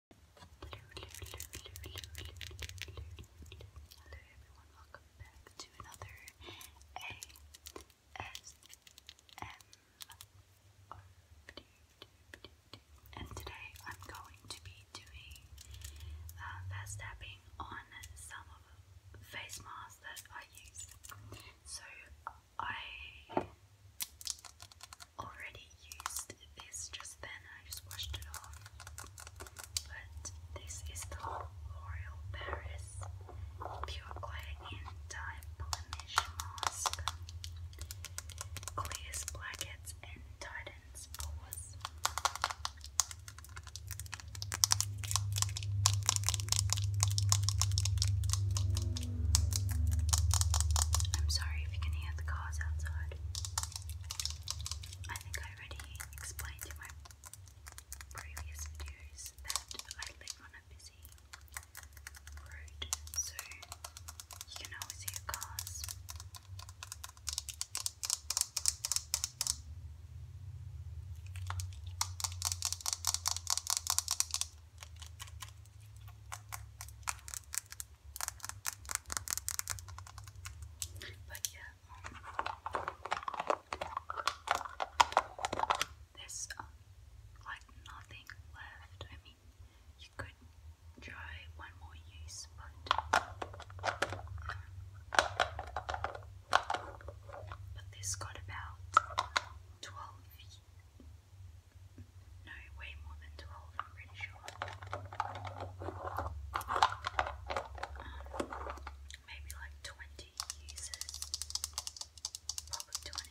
Hello everyone, welcome back to another ASMR video. And today I'm going to be doing uh, fast tapping on some of the face masks that I use. So I already used used this just then, I just washed it off. But this is the L'Oreal Paris Pure Clay Anti-Blemish Mask. Clears blackheads and tightens pores. I'm sorry if you can hear the cars outside. I think I already explained in my previous videos that I live on a busy road, so you can always hear cars. But yeah, um, there's um, like nothing left. I mean, you could try one more use, but um, but this got about twelve no, way more than 12, I'm pretty sure. Um, maybe like 20 users. Probably 20.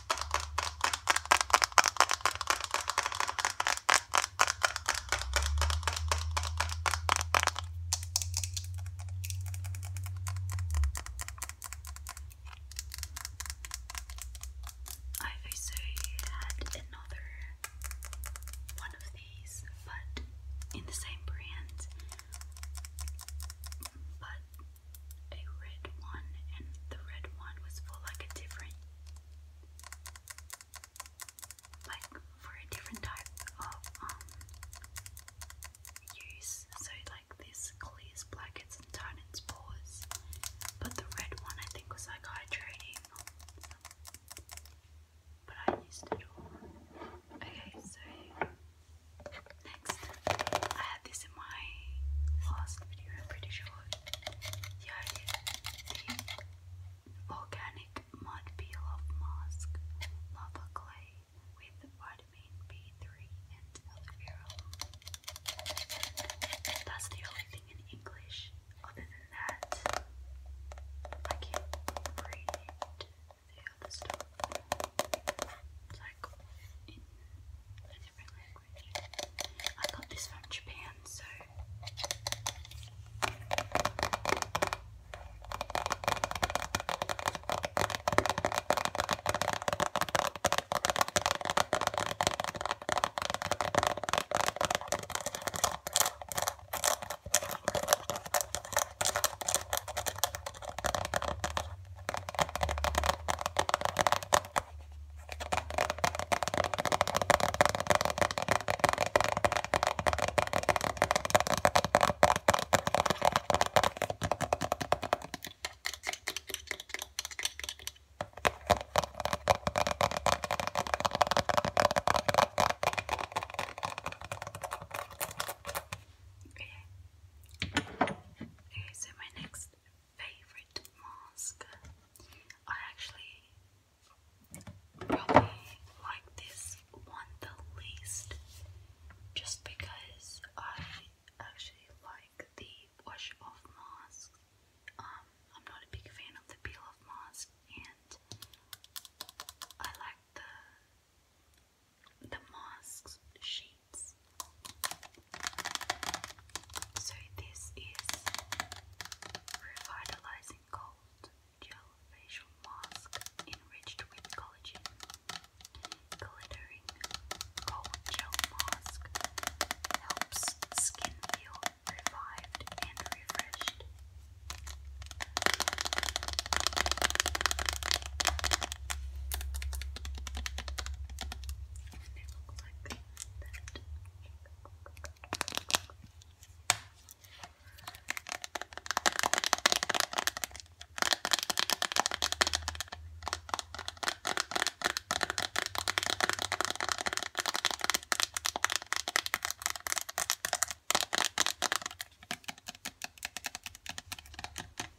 I also had another one of these, but in the same brand, but a red one, and the red one was for like a different, like for a different type of um use. So like this clears blankets and tannins pores, but the red one I think was like hydrating. But I used it all. Okay, so Next, I had this in my last video, I'm pretty sure. The organic mud peel off mask, lava clay with vitamin B3 and aloe vera. That's the only thing in English. Other than that, I can't read the other stuff. It's like in a different language quickly. I got this from Japan, so Okay. Okay, so my next favorite mask. I actually probably like this one the least just because I actually like the wash off mask. Um, I'm not a big fan of the peel off mask and I like the the mask's shape. So this is Revitalizing Gold Gel Facial Mask enriched with collagen. Glittering gold gel mask helps skin feel revived and refreshed like that. Okay.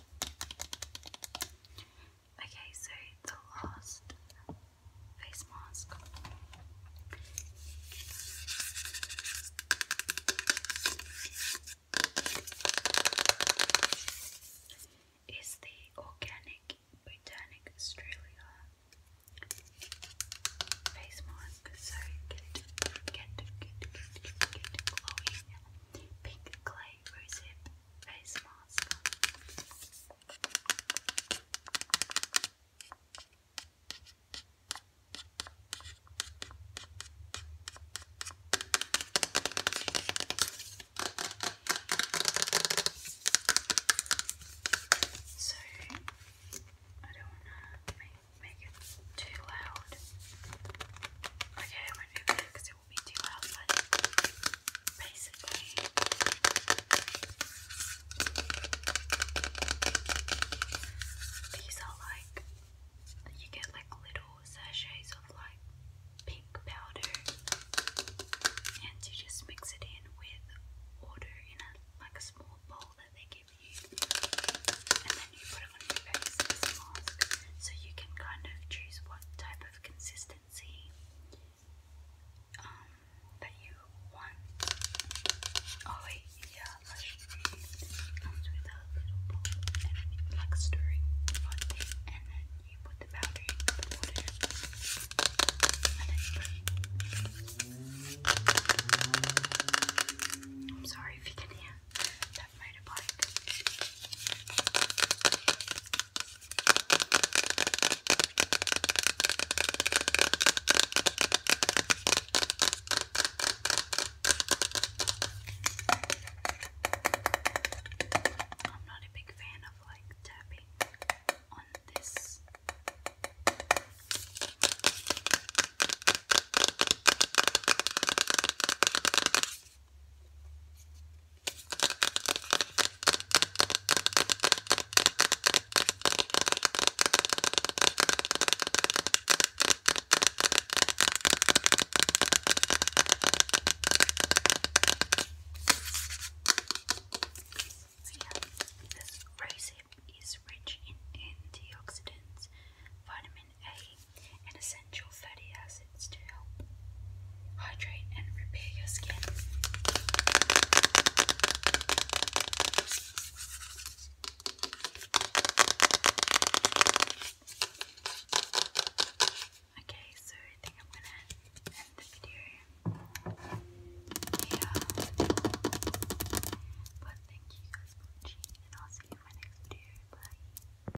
Okay, so the last face mask. Is the Organic Botanic Australia face mask? So get, get, get, get, get glowing pink clay face mask. So I don't want to make, it too loud. Okay, I will it will basically, these are like you get like little sachets of like pink powder, and you just mix it in with water in a like a small bowl that they give you, and then you put so you can kind of choose what type of consistency um, that you want. Oh wait, yeah, comes with a little bowl and like stirring pot thing, and then you put the powder in and then you I'm sorry if you can hear that might I'm not a big fan of like tapping on this this rosehip is rich in antioxidants, vitamin a and essential fatty acids to help hydrate and repair your skin. Okay, so I think I'm gonna end the video here. But thank you guys for watching, and I'll see you in my next video. Bye.